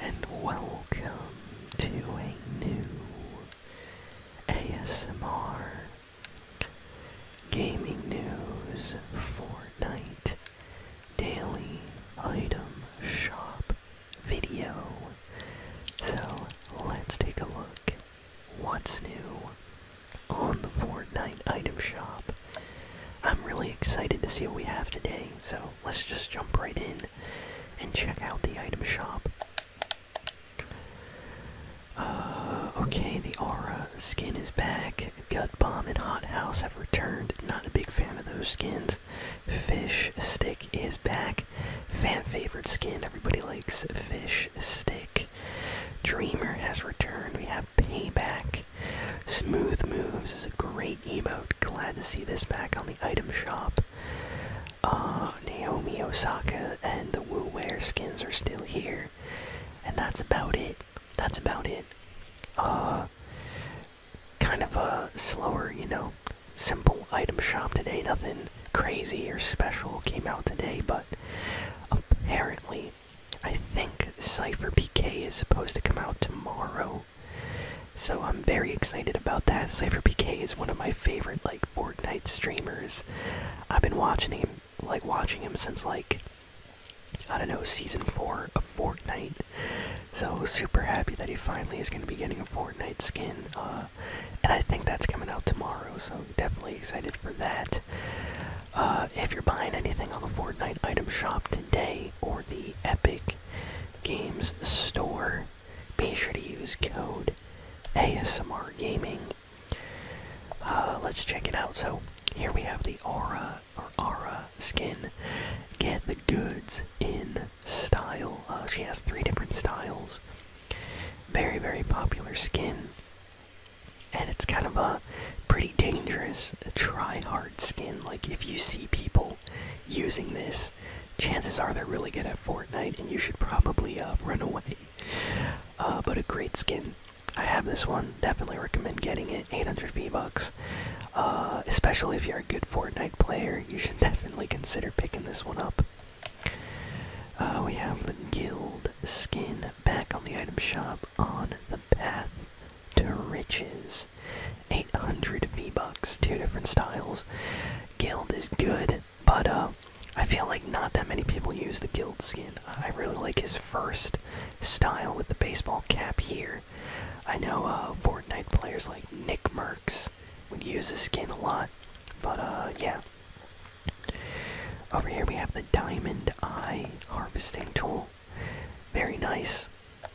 and welcome to a new ASMR Gaming News Fortnite Daily Item Shop video. So let's take a look what's new on the Fortnite item shop. I'm really excited to see what we have today, so let's just jump right in and check out the item shop. Uh, okay, the aura skin is back. Gut bomb and hot house have returned. Not a big fan of those skins. Fish stick is back. Fan favorite skin. Everybody likes fish stick. Dreamer has returned. We have payback. Smooth moves is a great emote. Glad to see this back on item shop. Uh, Naomi Osaka and the Wu Wear skins are still here, and that's about it. That's about it. Uh, kind of a slower, you know, simple item shop today. Nothing crazy or special came out today, but apparently, I think Cypher PK is supposed to come out tomorrow. So I'm very excited about that. CypherPK is one of my favorite like Fortnite streamers. I've been watching him like watching him since like I don't know, season four of Fortnite. So super happy that he finally is gonna be getting a Fortnite skin. Uh, and I think that's coming out tomorrow, so definitely excited for that. Uh, if you're buying anything on the Fortnite item shop today or the Epic Games Store. Be sure to use code ASMR Gaming. Uh, let's check it out. So here we have the Aura or Aura skin. Get the goods in style. Uh, she has three different styles. Very very popular skin, and it's kind of a pretty dangerous this try hard skin. Like, if you see people using this, chances are they're really good at Fortnite and you should probably uh, run away. Uh, but a great skin. I have this one. Definitely recommend getting it. 800 V-Bucks. Uh, especially if you're a good Fortnite player, you should definitely consider picking this one up. we have the guild skin back on the item shop on the path to riches. 800 V-Bucks, two different styles. Guild is good, but uh, I feel like not that many people use the Guild skin. I really like his first style with the baseball cap here. I know uh, Fortnite players like Nick Merckx would use this skin a lot, but uh, yeah. Over here we have the Diamond Eye Harvesting Tool. Very nice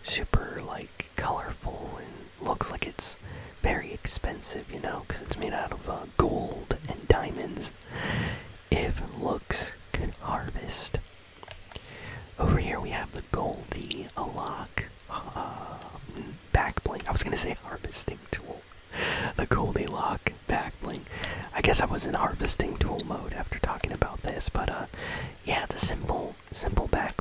super like colorful and looks like it's very expensive, you know, because it's made out of uh, gold and diamonds. If looks could harvest. Over here we have the Goldie Alok uh, backbling. I was gonna say harvesting tool. The Goldie Lock backbling. I guess I was in harvesting tool mode after talking about this, but uh, yeah, it's a simple, simple back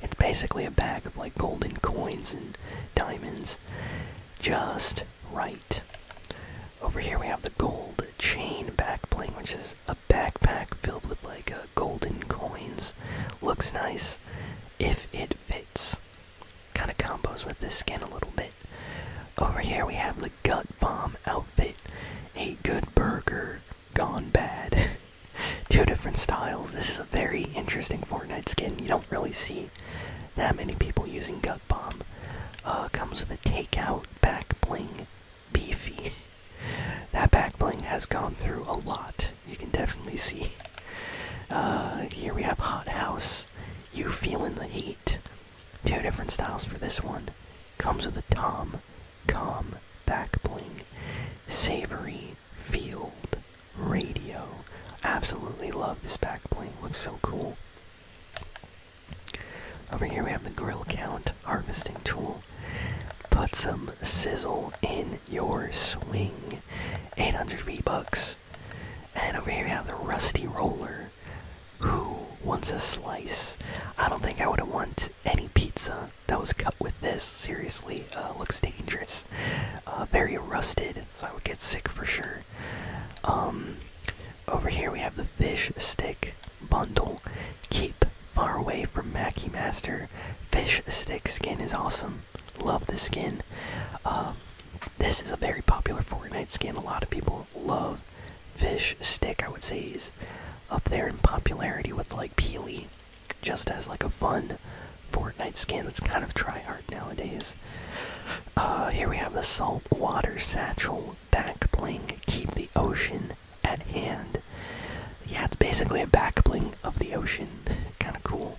It's basically a bag of like golden coins and diamonds. Just right. Over here we have the gold chain back which is a backpack filled with like uh, golden coins. Looks nice if it fits. Kind of combos with this skin a little bit. Over here we have the gut bomb outfit. A good burger gone bad. Two different styles. This is a very interesting Fortnite skin. You don't really see that many people using gut bomb. Uh, comes with a takeout back bling, beefy. that back bling has gone through a lot. You can definitely see. Uh, here we have hot house. You feeling the heat? Two different styles for this one. Comes with a Tom, Tom back bling, savory field radio. Absolutely love this back bling. Looks so cool. Over here we have the grill count harvesting tool. Put some sizzle in your swing. 800 V bucks. And over here we have the rusty roller. Who wants a slice? I don't think I would want any pizza that was cut with this. Seriously, uh, looks dangerous. Uh, very rusted, so I would get sick for sure. Um, over here we have the fish stick bundle. Keep far away from Mackie Master. Fish stick skin is awesome. Love the skin. Uh, this is a very popular Fortnite skin. A lot of people love fish stick i would say is up there in popularity with like peely just as like a fun fortnite skin that's kind of try hard nowadays uh, here we have the saltwater satchel back bling keep the ocean at hand yeah it's basically a back bling of the ocean kind of cool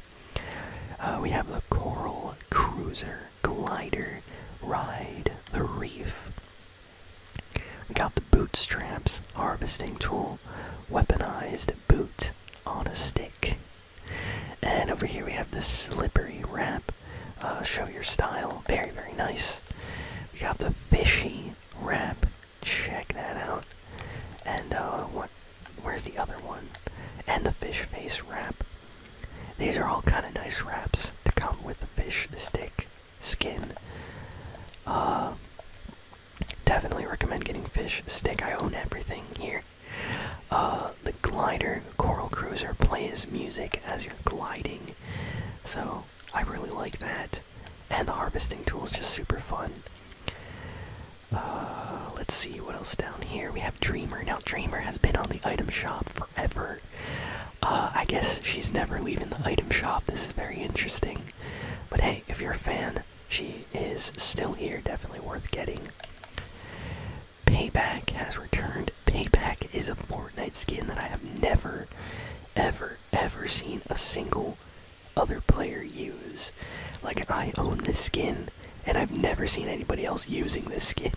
uh, we have the coral cruiser glider, ride the reef. We got the bootstraps harvesting tool, weaponized boot on a stick. And over here we have the slippery wrap, uh, show your style, very, very nice. We got the fishy wrap, check that out. And uh, Where's the other one? And the fish face wrap. These are all kind of nice wraps to come with the fish stick skin. Uh, definitely recommend getting fish stick. I own everything here. Uh, the glider coral cruiser plays music as you're gliding, so I really like that. And the harvesting tool is just super fun. Uh, let's see what else here we have Dreamer. Now Dreamer has been on the item shop forever. Uh, I guess she's never leaving the item shop. This is very interesting. But hey, if you're a fan, she is still here. Definitely worth getting. Payback has returned. Payback is a Fortnite skin that I have never, ever, ever seen a single other player use. Like, I own this skin and I've never seen anybody else using this skin.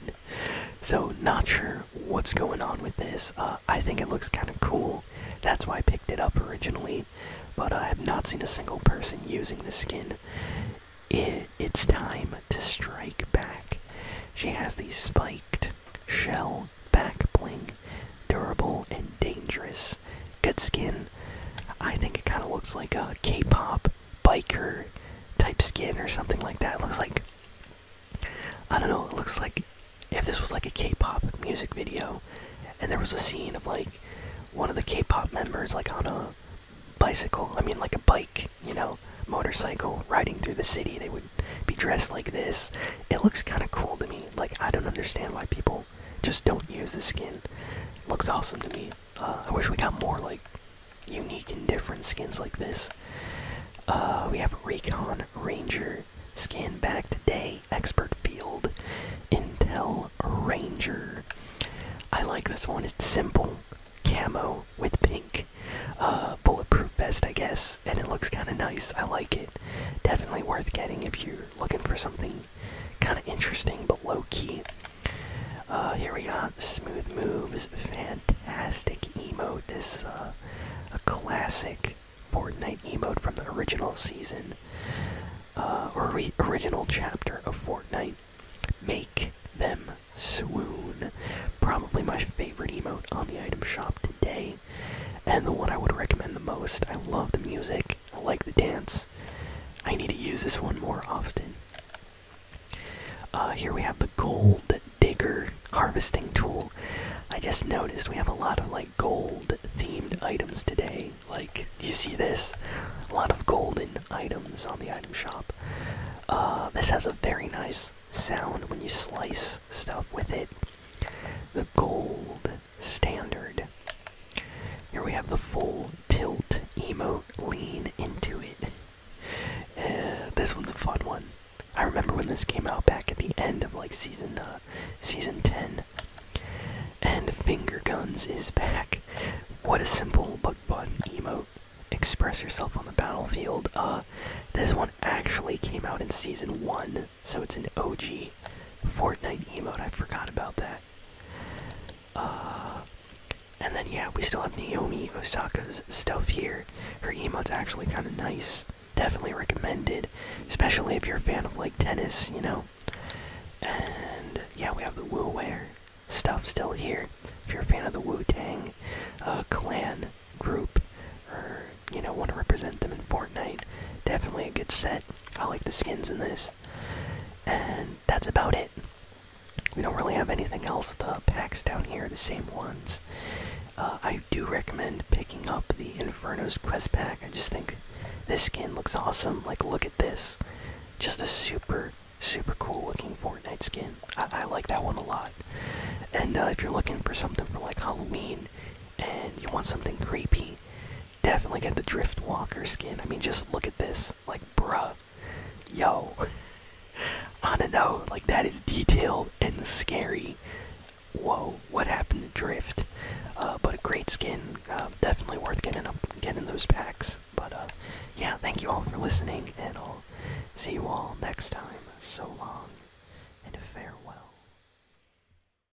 So, not sure what's going on with this. Uh, I think it looks kind of cool. That's why I picked it up originally, but I have not seen a single person using this skin. it's time to strike back. She has the spiked shell back bling, durable and dangerous. Good skin. I think it kind of looks like a K-pop biker type skin or something like that. looks like I don't know. It looks like if this was like a K-pop music video, and there was a scene of like one of the K-pop members like on a bicycle. I mean, like a bike, you know, motorcycle riding through the city. They would be dressed like this. It looks kind of cool to me. Like I don't understand why people just don't use the skin. looks awesome to me. Uh, I wish we got more like unique and different skins like this. Uh, we have Raycon Ranger skin back Day Expert Field Intel Ranger. I like this one. It's simple camo with pink uh, bulletproof vest, I guess, and it looks kind of nice. I like it. Definitely worth getting if you're looking for something kind of interesting but low key. Uh, here we go. smooth moves, fantastic emote. This uh, a classic Fortnite emote from the original season uh, or original chapter of Fortnite. Make them swoon. Probably my favorite emote on the item shop today, and the one I would recommend the most. I love the music. I like the dance. I need to use this one more often. Uh, here we have the gold digger harvesting tool. I just noticed we have a lot of like gold themed items today. Like, you see this? A lot of golden items on the item shop. Uh, this has a very nice sound when you slice stuff with it. The gold standard. Here we have the full tilt emote, lean into it. Uh, this one's a fun one. I remember when this came out back at the end of like season uh, season 10. And finger guns is back. What a simple but fun emote. Express yourself on the battlefield. Uh, this one actually came out in season one, so it's an OG Fortnite emote. I forgot about that. Uh, and then yeah, we still have Naomi Osaka's stuff here. Her emote's actually kind of nice. Definitely recommended, especially if you're a fan of like tennis, you know. And yeah, we have the Wu Wear stuff still here. If you're a fan of the Wu Tang uh, Clan group, or you know want to represent them in Fortnite, definitely a good set. I like the skins in this. And that's about it. We don't really have anything else. The packs down here are the same ones. Uh, I do recommend picking up the Inferno's Quest Pack. I just think this skin looks awesome. Like, look at this. Just a super, super cool looking Fortnite skin. I, like that one a lot. And uh, if you're looking for something for like Halloween and you want something creepy, definitely get the drift walker skin. I mean, just look at this. Like, bruh. Yo. I don't know. Like, that is detailed and scary. Whoa, what happened to Drift? Uh, but a great skin. Uh, definitely worth getting, up, getting those packs. But, uh, yeah, thank you all for listening, and I'll see you all next time. So long, and farewell.